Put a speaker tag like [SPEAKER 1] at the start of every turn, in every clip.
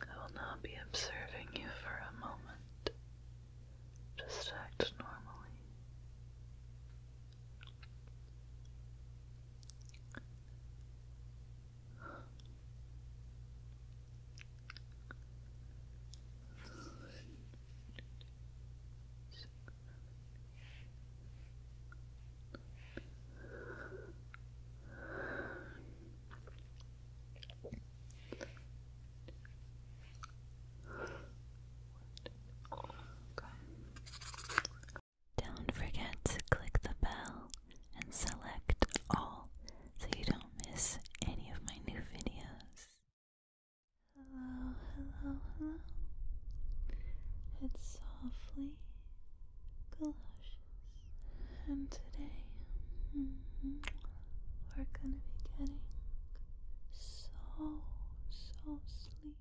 [SPEAKER 1] I will not be observing you for a moment. Just act normally. Don't forget to click the bell and select all so you don't miss any of my new videos. Hello, hello, hello. It's softly and today mm-hmm, we're gonna be getting so, so sleepy.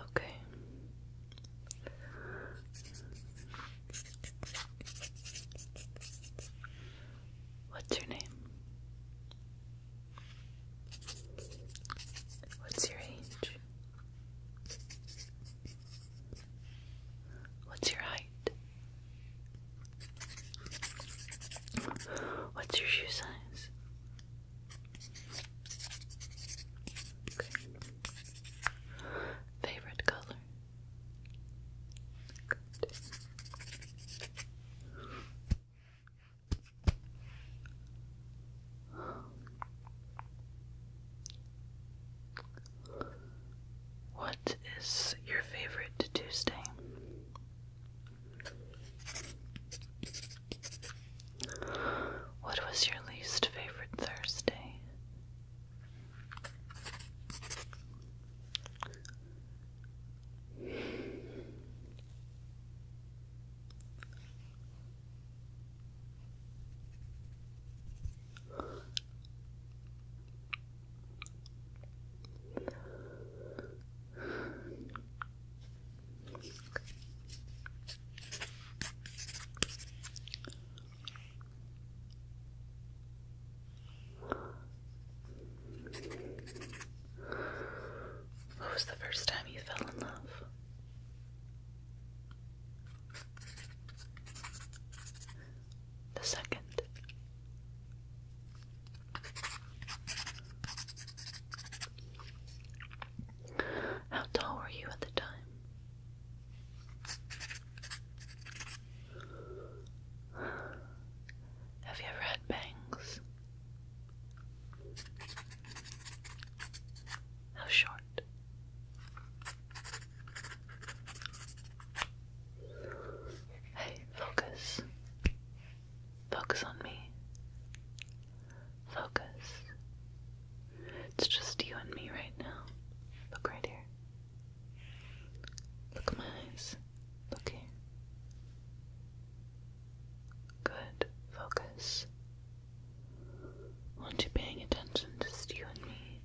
[SPEAKER 1] Okay. What's your name? What's your age? What's your height? What's your shoe size? Favorite color? What is your favorite Tuesday? What was your least favorite Thursday? What was the first time you fell in love? the second, how tall were you at the time? Have you ever had bangs? How short? Hey, focus. Focus on me. Focus. It's just you and me right now. Look right here. Look at my eyes. Look here. Good. Focus. I want you paying attention, just you and me.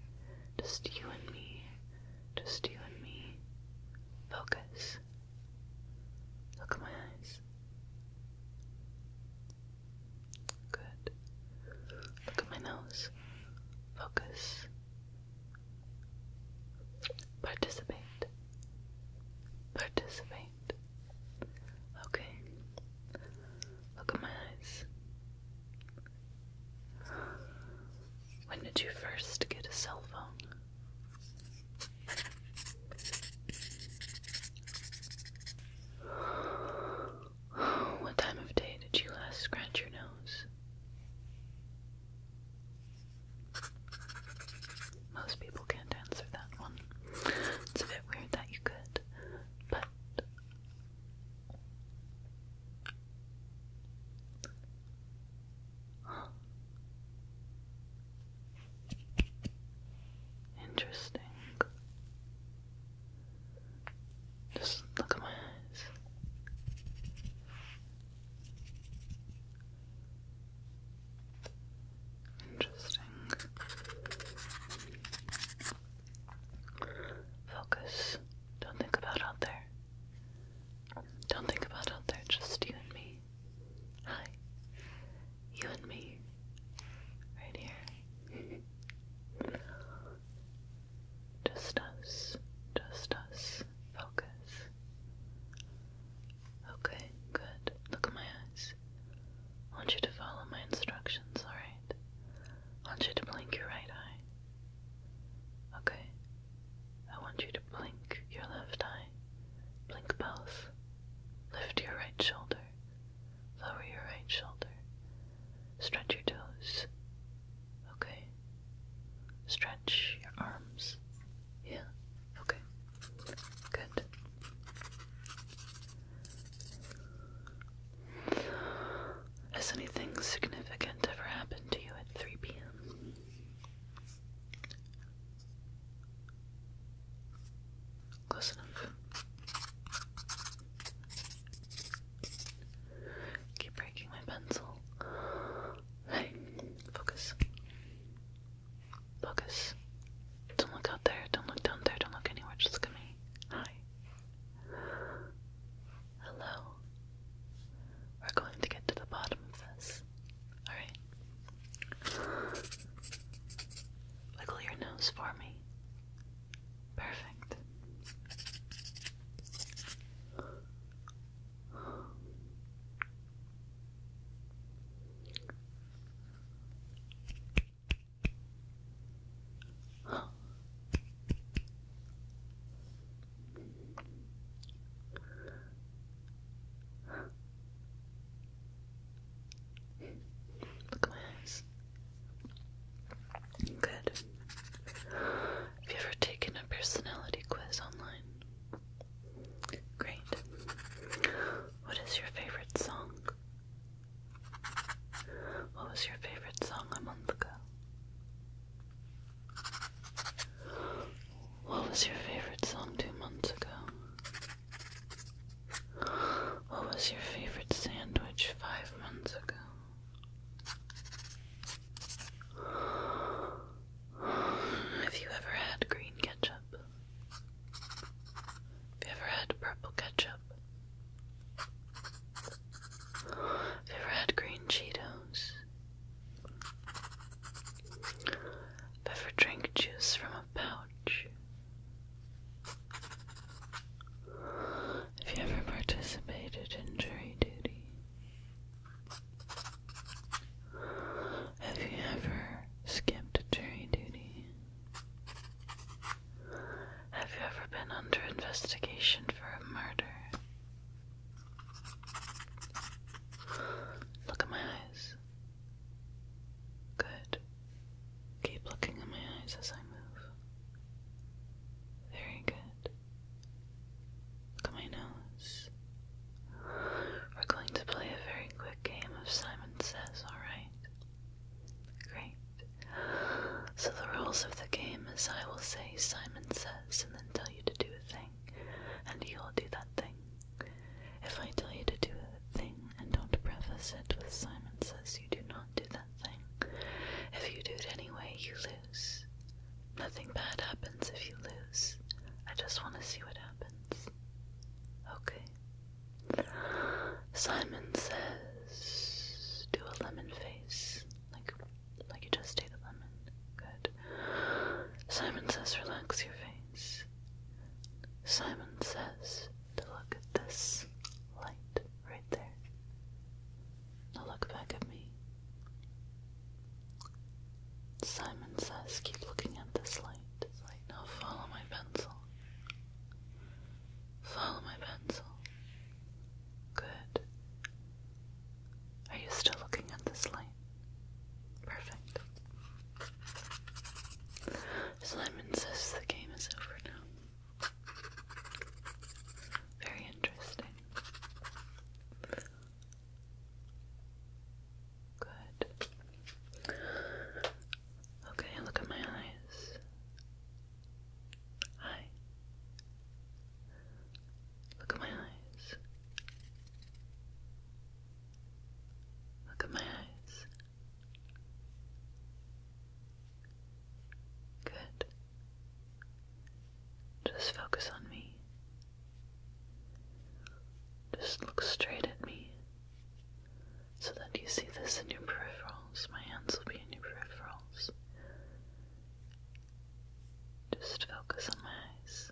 [SPEAKER 1] Just you and me. Just you and me. Focus. Look at my eyes. Good. Look at my nose. Focus. Participate. Participate. Okay. Look at my eyes. When did you first get a cell phone? What time of day did you last scratch your nose? Most people can't answer that one. It's a bit weird that you could, but Interesting. Just look at my eyes. Interesting. Focus. Don't think about out there. Don't think about out there, just you and me. Hi. You and me. Right here. Just us. Just us. Focus. Okay, good. Look at my eyes. I want you to follow my instructions, alright? I want you to blink your right eye. Okay. I want you to blink your left eye. Blink both. Lift your right shoulder. Lower your right shoulder. Stretch your toes. Okay. Stretch your arms. Yeah. Okay. Good. Has anything significant ever happened to you at 3 p.m.? Close enough. Keep breaking my pencil. Hey, focus. Focus. Don't look out there. Don't look down there. Don't look anywhere. Just look at me. Hi. Hello. We're going to get to the bottom of this. Alright. Wiggle your nose for me. Perfect. Look at Good. Have you ever taken a personality quiz online? Great. What is your favorite song? What was your favorite song a month ago? What was your favorite song two months ago? What was your favorite sandwich five months ago? Have you ever had green ketchup? Have you ever had purple ketchup? Have you ever had green Cheetos? Have you ever drank juice from a pouch? Have you ever participated in jury duty? Have you ever skipped jury duty? Have you ever been under investigation for a murder? Look at my eyes. Good. Keep looking at my eyes as I move. Very good. Look at my nose. We're going to play a very quick game of Simon Says, alright? Great. So the rules of the game is I will say Simon says and then tell you to do a thing, and you'll do that thing. If I tell you to do a thing and don't preface it with Simon says you do not do that thing, if you do it anyway, you lose. Nothing bad happens if you lose. I just want to see what happens. Okay. Simon says do a lemon face, like like you just ate a lemon. Good. Simon says, relax your face. Simon says to look at this light right there. Now look back at me. Simon says, keep looking at this light. now follow my pencil. Follow my pencil. Good. Are you still looking at this line? Perfect. Simon says the game is over now. Very interesting. Good. Okay, look at my eyes. Hi. Look at my eyes. Look at my eyes. Good. Just focus on me. Just look straight at me so that you see this in your peripheral. My hands will be in your peripherals. Just focus on my eyes.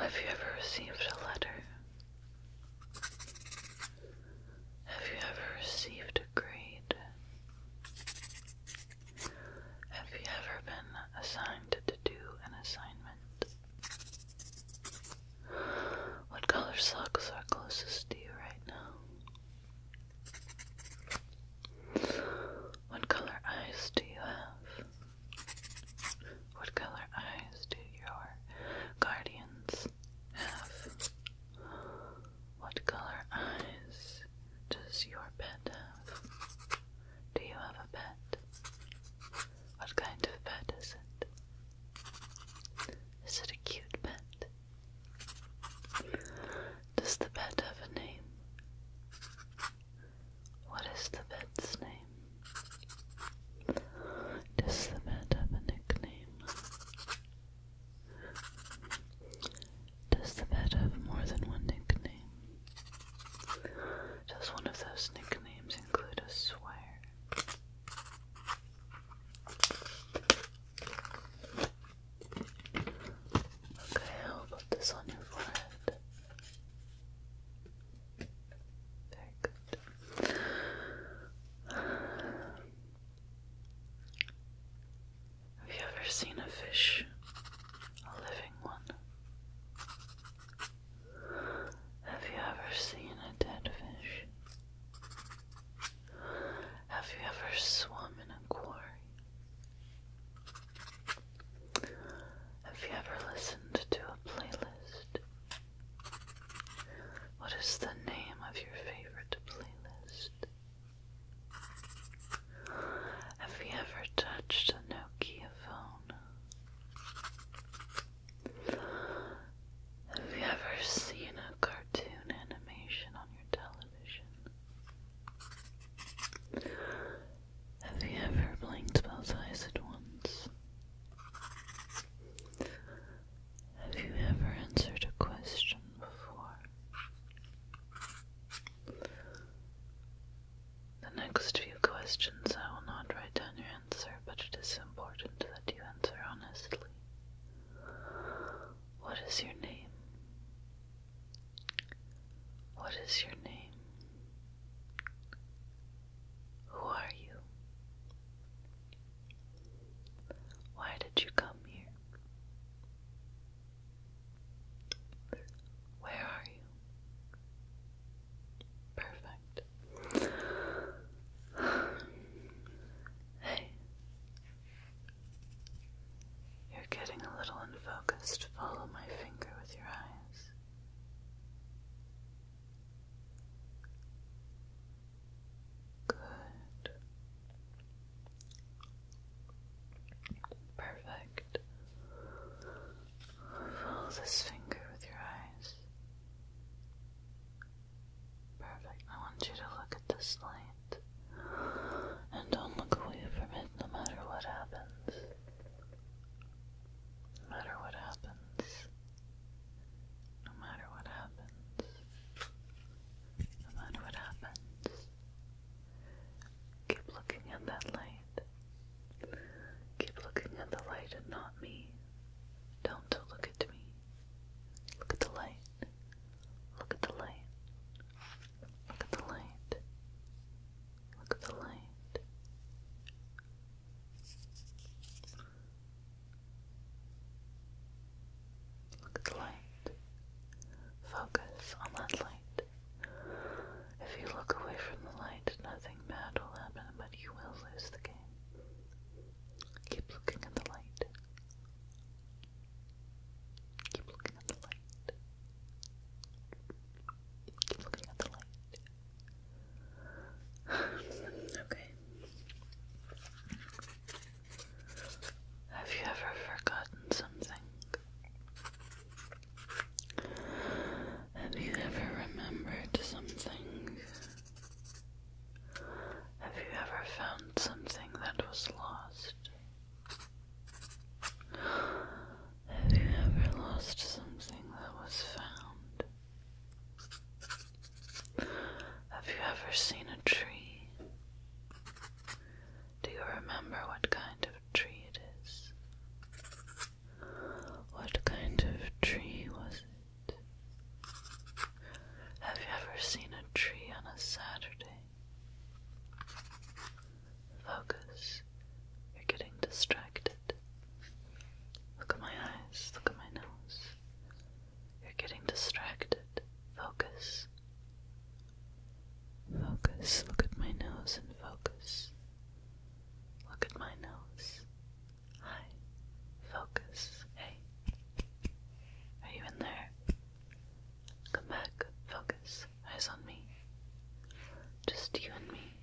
[SPEAKER 1] Have you ever received a letter? Have you ever received a grade? Have you ever been assigned to do an assignment? What color socks are closest to you right now? What color eyes do you have? What color eyes do your guardians have? What color eyes does your pet have? Do you have a pet? What kind of pet is it? Is it a cute pet? Does the pet have a name? What is the pet's name? Does the pet have a nickname? Does the pet have more than one nickname? Does one of those nicknames include a swear? Okay, I'll put this on your forehead. Very good. Have you ever seen a fish? A living one? Have you ever seen a dead fish? Have you ever swum in a quarry? Have you ever listened to a playlist? What is the name of your favorite playlist? Have you ever touched a Nokia phone? Have you ever seen a cartoon animation on your television? Have you ever blinked both eyes at once? Have you ever answered a question before? The next few questions I will not write down your answer, but it is important that you answer honestly. What is your name? What is your name? Who are you? Why did you come here? Where are you? Perfect. Hey. You're getting a little unfocused. Follow my finger with your eyes. Good. Perfect. Follow this finger with your eyes. Perfect. I want you to look at this light. And don't look away from it no matter what happens. No matter what happens. No matter what happens. No matter what happens. Keep looking at that light. Keep looking at the light and not me. Don't look at me. Look at the light. Look at the light. Look at the light. Look at the light. Look at the light. Focus on that light. If you look away from the light, nothing bad will happen, but you will lose the game. Keep looking at the light. Keep looking at the light. Keep looking at the light. okay. Have you ever forgotten something? Have you ever remembered something? Have you ever found something that was lost? Have you ever lost something that was found? Have you ever seen a tree? Do you remember what kind of tree it is? What kind of tree was it? Have you ever seen a tree on a Saturday? Focus. You're getting distracted. Look at my eyes. Look at my nose. You're getting distracted. Focus. Focus. Look at my nose and focus. Look at my nose. Hi. Focus. Hey. Are you in there? Come back. Focus. Eyes on me. Just you and me.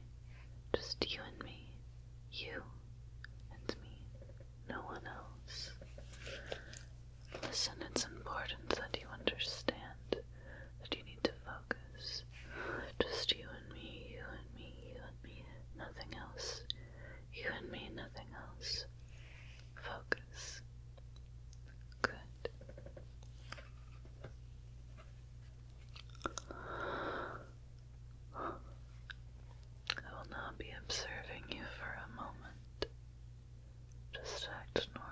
[SPEAKER 1] Just you and me. You and me. No one else. Listen, it's important that you understand that you need to focus. Just you and me, you and me, you and me, nothing else. You and me, nothing else. Focus. Good. I will not be observing you for a moment. Just act normally.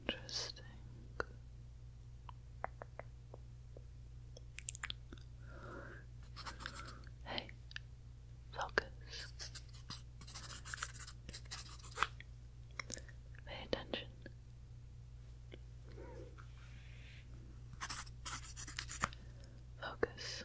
[SPEAKER 1] Interesting. Hey, focus. Pay attention. Focus.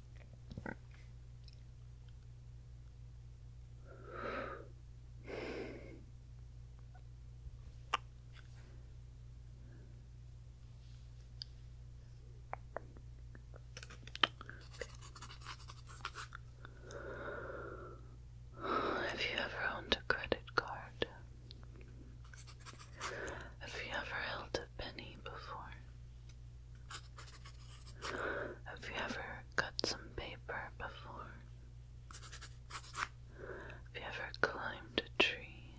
[SPEAKER 1] Have you ever owned a credit card? Have you ever held a penny before? Have you ever cut some paper before? Have you ever climbed a tree?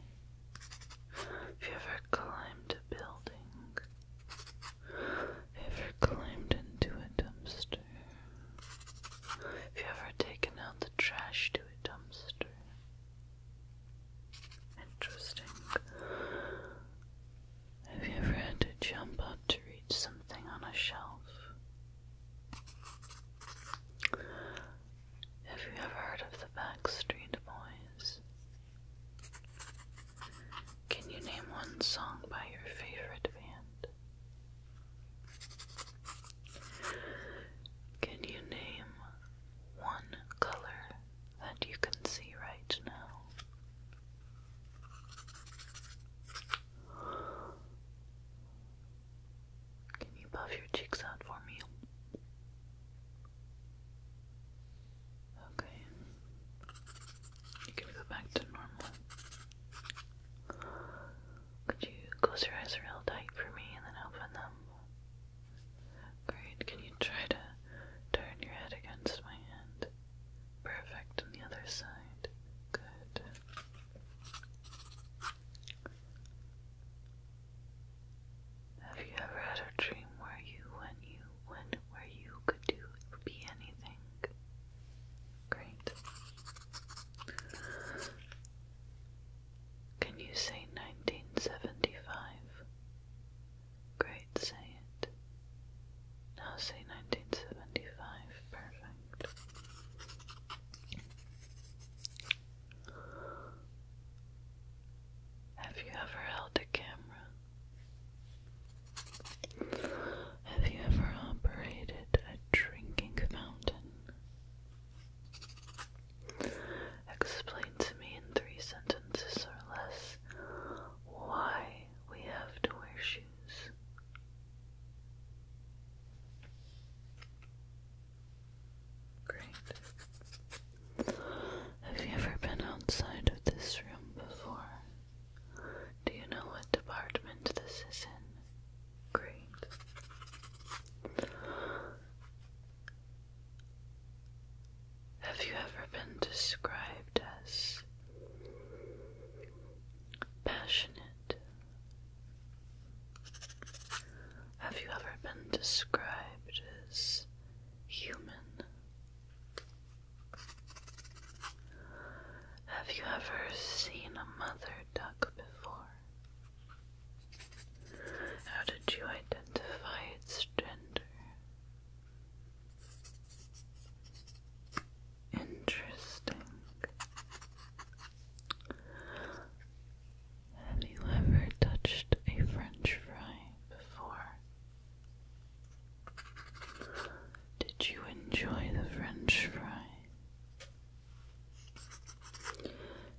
[SPEAKER 1] Have you ever climbed a building? Have you ever climbed into a dumpster? Have you ever taken out the trash to a dumpster? Interesting. Have you ever had to jump up to reach something on a shelf? Have you ever heard of the Backstreet Boys? Can you name one song by your favorite band? Can you name one color that you can see right now. Can you puff your cheeks out for me? Okay. You can go back to normal. Could you close your eyes real tight for me and then open them? Great, can you try to turn your head against my hand? Perfect, on the other side. Good. Have you ever had a dream where you, when you, when, where you could do, be anything? Great. Can you say 1975? Great, say it. Now say 1975. Perfect. Have you ever held a camera? Have you ever operated a drinking fountain? Explain to me in three sentences or less why we have to wear shoes. Great. Have you ever been outside of this room before? Do you know what department this is in? Great. Have you ever been described as passionate? Have you ever been described as human? Have you ever seen a mother duck before? How did you identify its gender? Interesting. Have you ever touched a french fry before? Did you enjoy the french fry?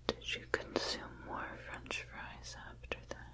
[SPEAKER 1] Did you consume more french fries after that?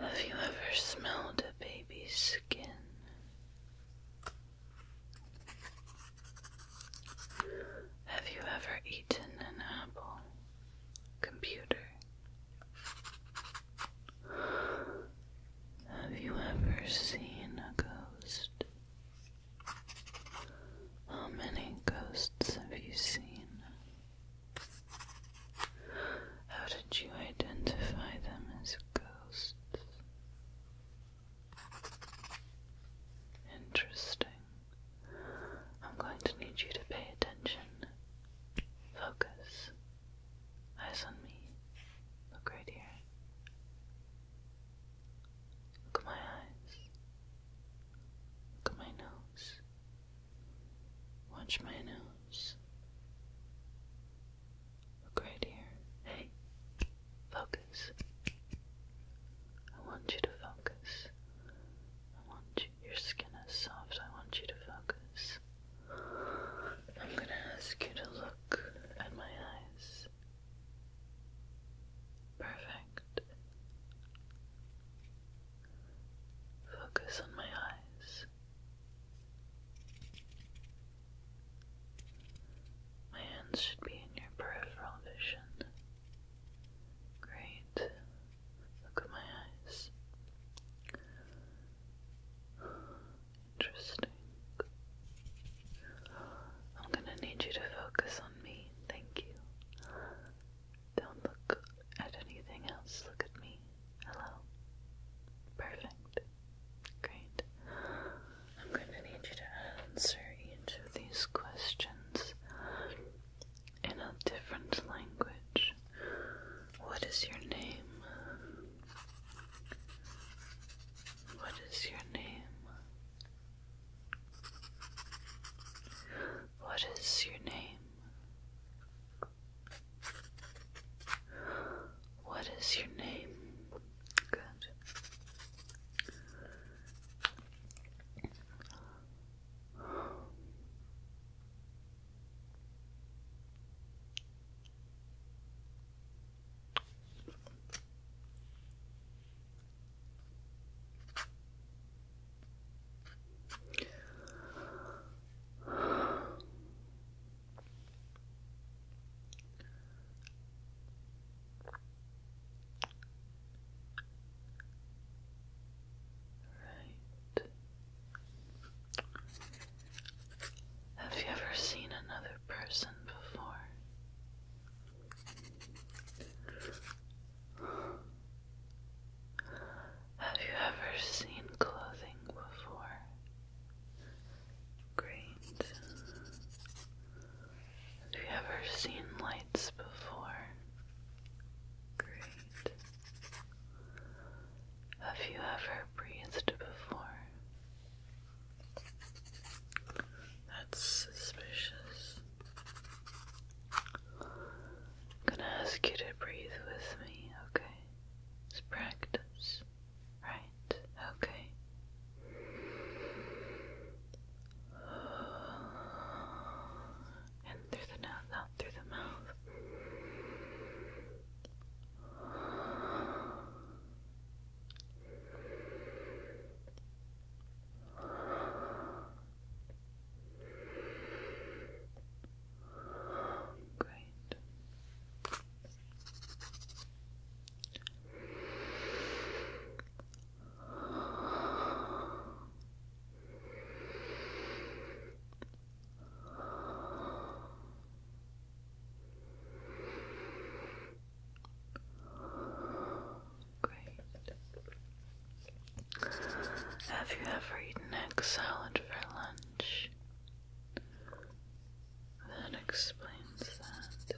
[SPEAKER 1] Have you ever smelled a baby's skin? Have you ever eaten an apple? Computer. Have you ever seen a ghost? How many ghosts have you seen? How did you identify them as ghosts? Interesting. I'm going to need you to pay attention. Focus. Eyes on me. Look right here. Look at my eyes. Look at my nose. Watch my nose. Look right here. Hey, focus. I want you to focus. I want your skin is soft. I want you to focus. I'm gonna ask you to look at my eyes. Perfect. Focus on my eyes. My hands should be in your peripheral vision. Great. Look at my eyes. Interesting. I'm gonna need you to focus on me. Thank you. Don't look at anything else. Look at me. Hello. Perfect. Great. I'm going to need you to answer each of these questions in a different language. What is your name? What is your name? What is your name? What is your name? Good. Right. Have you ever seen another person before? Have you ever seen clothing before? Great. Have you ever seen lights before? Great. Have you ever breathed before? That's suspicious. gonna ask you to breathe with me, okay? It's practice. Right, okay. And through the nose, out through the mouth. Great. Have you ever eaten egg salad for lunch? That explains that.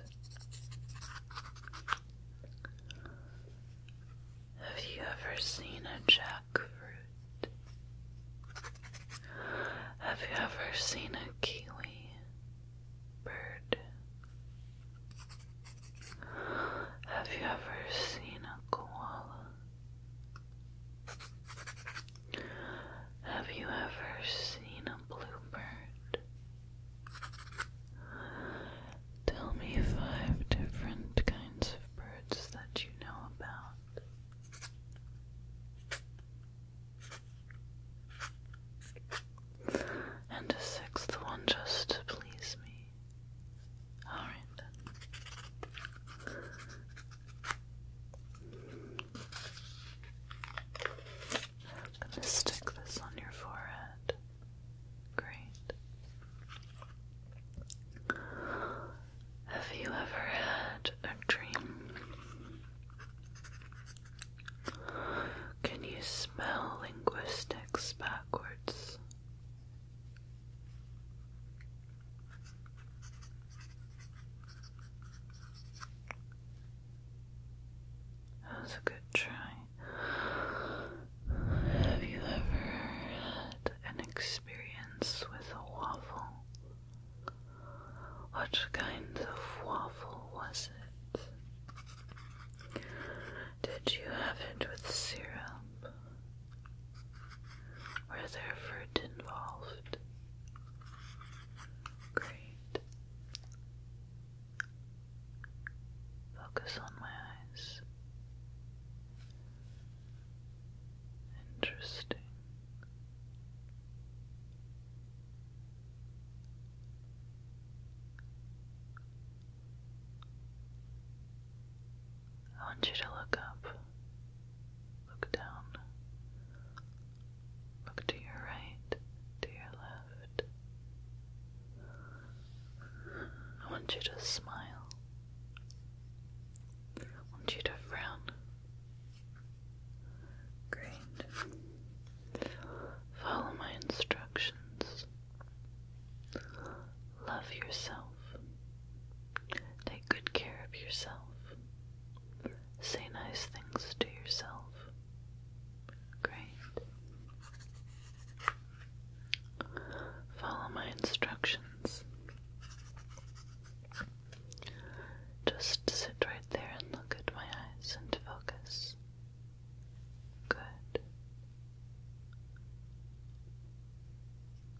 [SPEAKER 1] Have you ever seen a jackfruit? Have you ever seen a kiwi bird? Have you ever seen a koala? Have you ever seen a bluebird? Tell me five different kinds of birds that you know about. And a sixth one just to please me. Alright I'm going to stick this on your forehead. Great. Have you ever had a dream? Can you smell linguistics backwards? That was a good try. Have you ever had an experience with a waffle? What kind of waffle was it? Did you have it with syrup were there fruit involved? Great. Focus on my eyes. Interesting. I want you to look up, look down, look to your right, to your left. I want you to smile. I want you to frown. Great. Follow my instructions. Love yourself. Take good care of yourself. Say nice things to yourself. Great. Follow my instructions. Just sit right there and look at my eyes and focus. Good.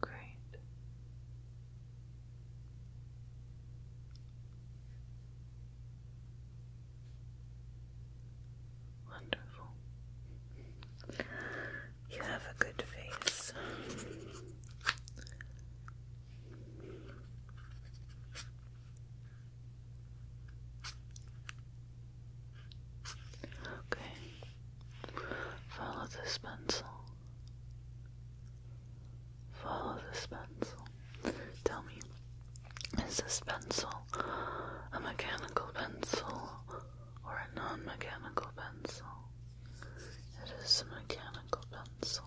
[SPEAKER 1] Great. Wonderful. You have a good face. Okay. Follow this pencil. Follow this pencil. Tell me, is this pencil a mechanical pencil or a non mechanical pencil? It is a mechanical pencil.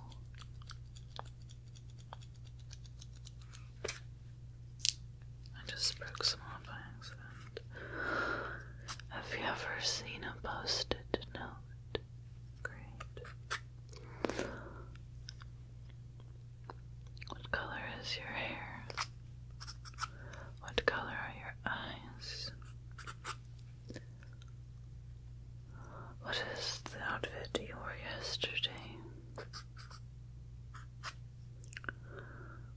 [SPEAKER 1] I just broke some off by accident. Have you ever seen a post-it note? Great. What color is your hair? What color are your eyes? What is the outfit you wore yesterday?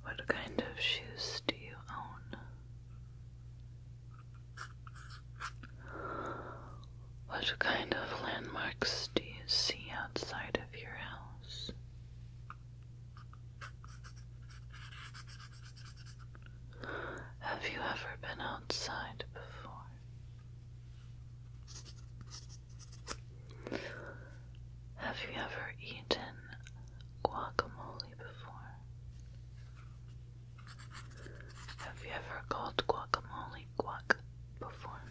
[SPEAKER 1] What kind of shoes do you own? What kind of landmarks do you see outside of your house? Have you ever been outside before? Have you ever eaten guacamole before? Have you ever called guacamole guac before?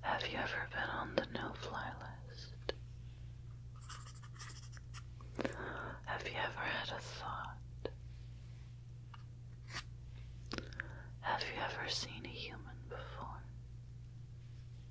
[SPEAKER 1] Have you ever been on the no fly list? Have you ever had a thought? Have you ever seen a human before?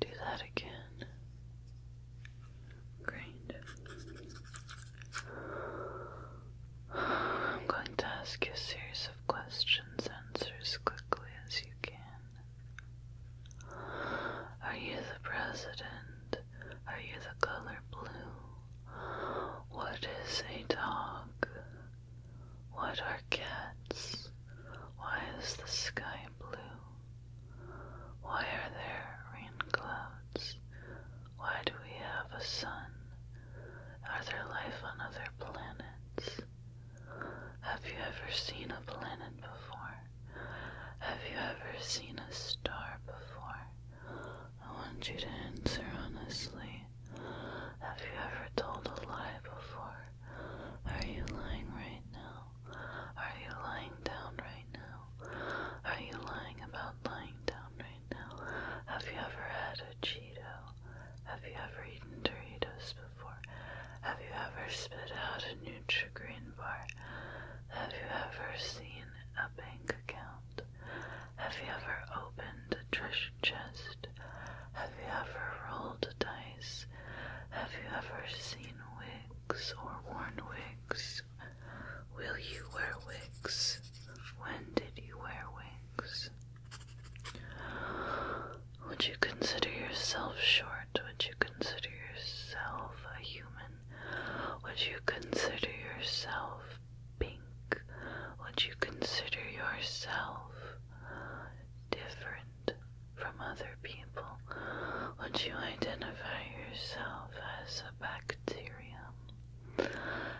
[SPEAKER 1] Do that again. Great. I'm going to ask you a series of questions, answers quickly as you can. Are you the president? Are you the color blue? What is a dog? What are cats? Why is the sky blue? Why are there rain clouds? Why do we have a sun? Are there life on other planets? Have you ever seen a planet before? Have you ever seen a star before? I want you to answer honestly. Have you ever told a lie before? Are you lying right now? Are you lying down right now? Are you lying about lying down right now? Have you ever had a Cheeto? Have you ever eaten Doritos have you ever spit out a Nutri-Green bar? Have you ever seen a bank account? Have you ever opened a treasure chest? Have you ever rolled dice? Have you ever seen wigs or worn wigs? Will you wear wigs? When did you wear wigs? Would you consider yourself short? heart? Would you consider yourself a human? Would you consider yourself pink? Would you consider yourself different from other people? Would you identify yourself as a bacterium?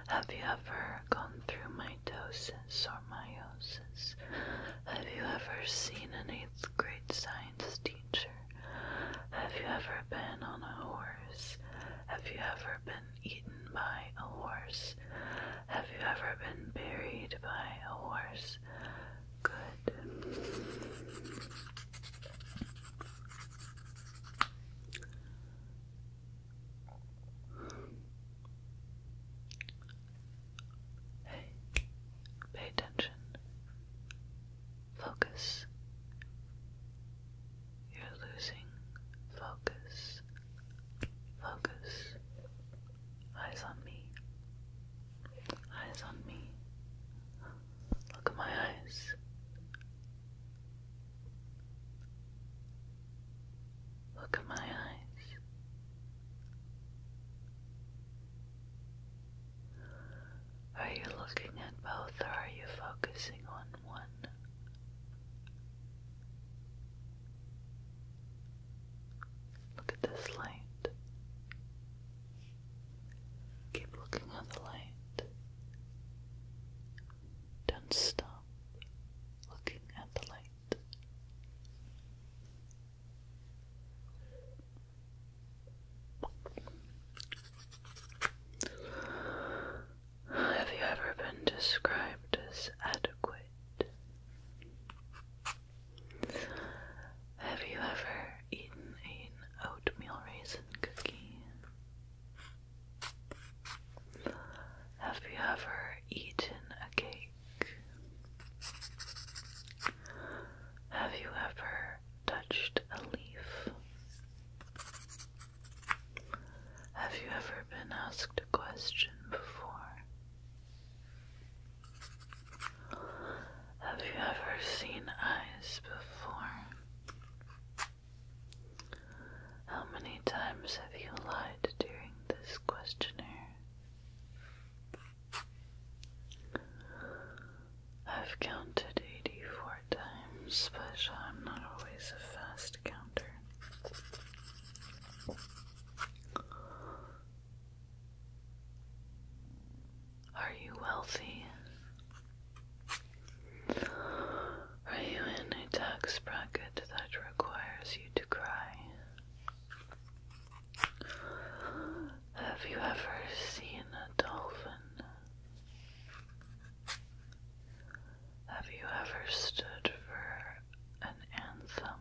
[SPEAKER 1] Have you ever gone through mitosis or meiosis? Have you ever seen an eighth grade science? Have you ever been on a horse? Have you ever been eaten by a horse? Have you ever been buried by a horse? Good. Hey, pay attention. Focus. You're losing focus. Focus. Eyes on me. Eyes on me. Look at my eyes. Look at my eyes. Are you looking at both or are you focusing on one? Look at this light. Keep looking at the light. Don't stop looking at the light. Have you ever been described as adequate? Have you ever eaten an oatmeal raisin cookie? Have you ever eaten a cake? Have you ever touched a leaf? Have you ever been asked a question before? Have you ever seen eyes before? How many times have you lied during this questionnaire? I've counted 84 times, but I'm not always a fast counter. Are you wealthy? Are you in a tax bracket that requires you to cry? Have you ever seen a dolphin? Have you ever stood for an anthem?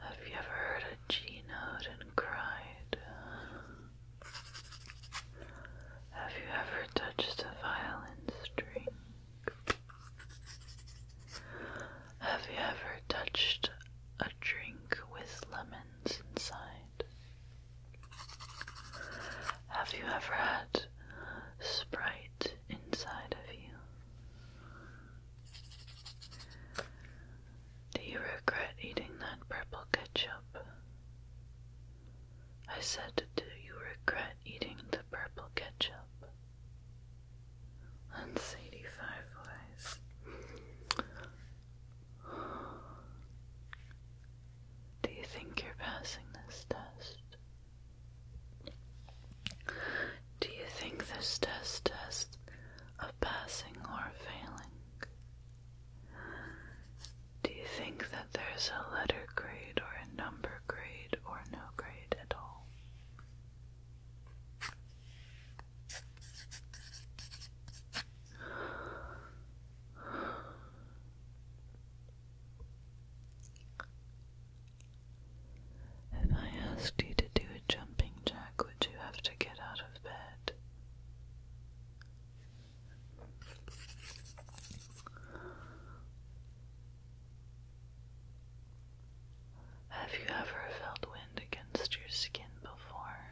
[SPEAKER 1] Have you ever heard a G note and cried? Have you ever touched a violin string? Have you ever touched a drink with lemons inside? Have you ever had Sprite inside of you? Do you regret eating that purple ketchup? I said, do you regret eating the purple ketchup? and Sadie Fireflies. Do you think you're passing this test? Do you think this test tests of passing or failing? Do you think that there's a letter grade or a number grade or no grade at all? If I asked you to do a jumping jack, would you have to get out of bed? Have you ever felt wind against your skin before?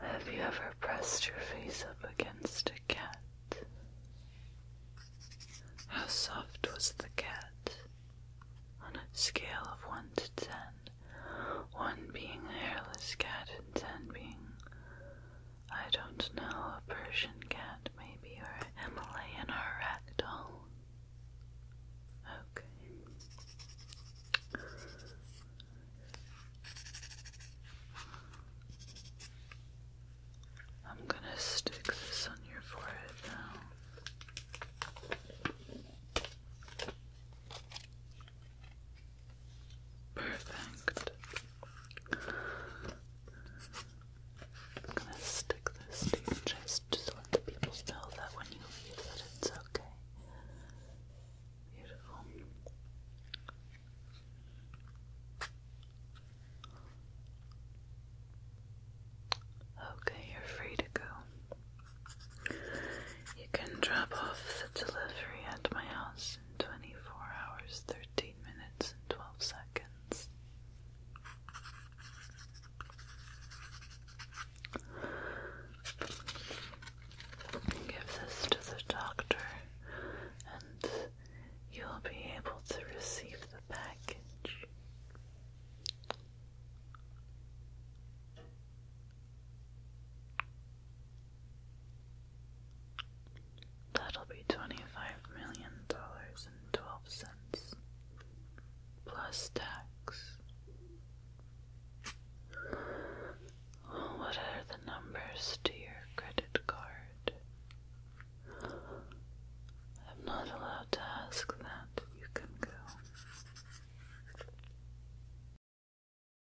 [SPEAKER 1] Have you ever pressed your face up against a cat? How soft was the cat? On a scale of 1 to ten, one being a hairless cat it being, I don't know, a Persian cat maybe, or a Himalayan or a Okay. I'm gonna stick this on your forehead now. Perfect. I'm gonna stick this to just to let people know that when you leave that it's okay. Beautiful. Okay, you're free to go. You can drop off the delivery at my house 24 hours, 13 minutes, and 12 seconds. Give this to the doctor, and you'll be able to receive the package. That'll be twenty-five million dollars and twelve cents plus tax. What are the numbers to your credit card? I'm not allowed to ask that. You can go.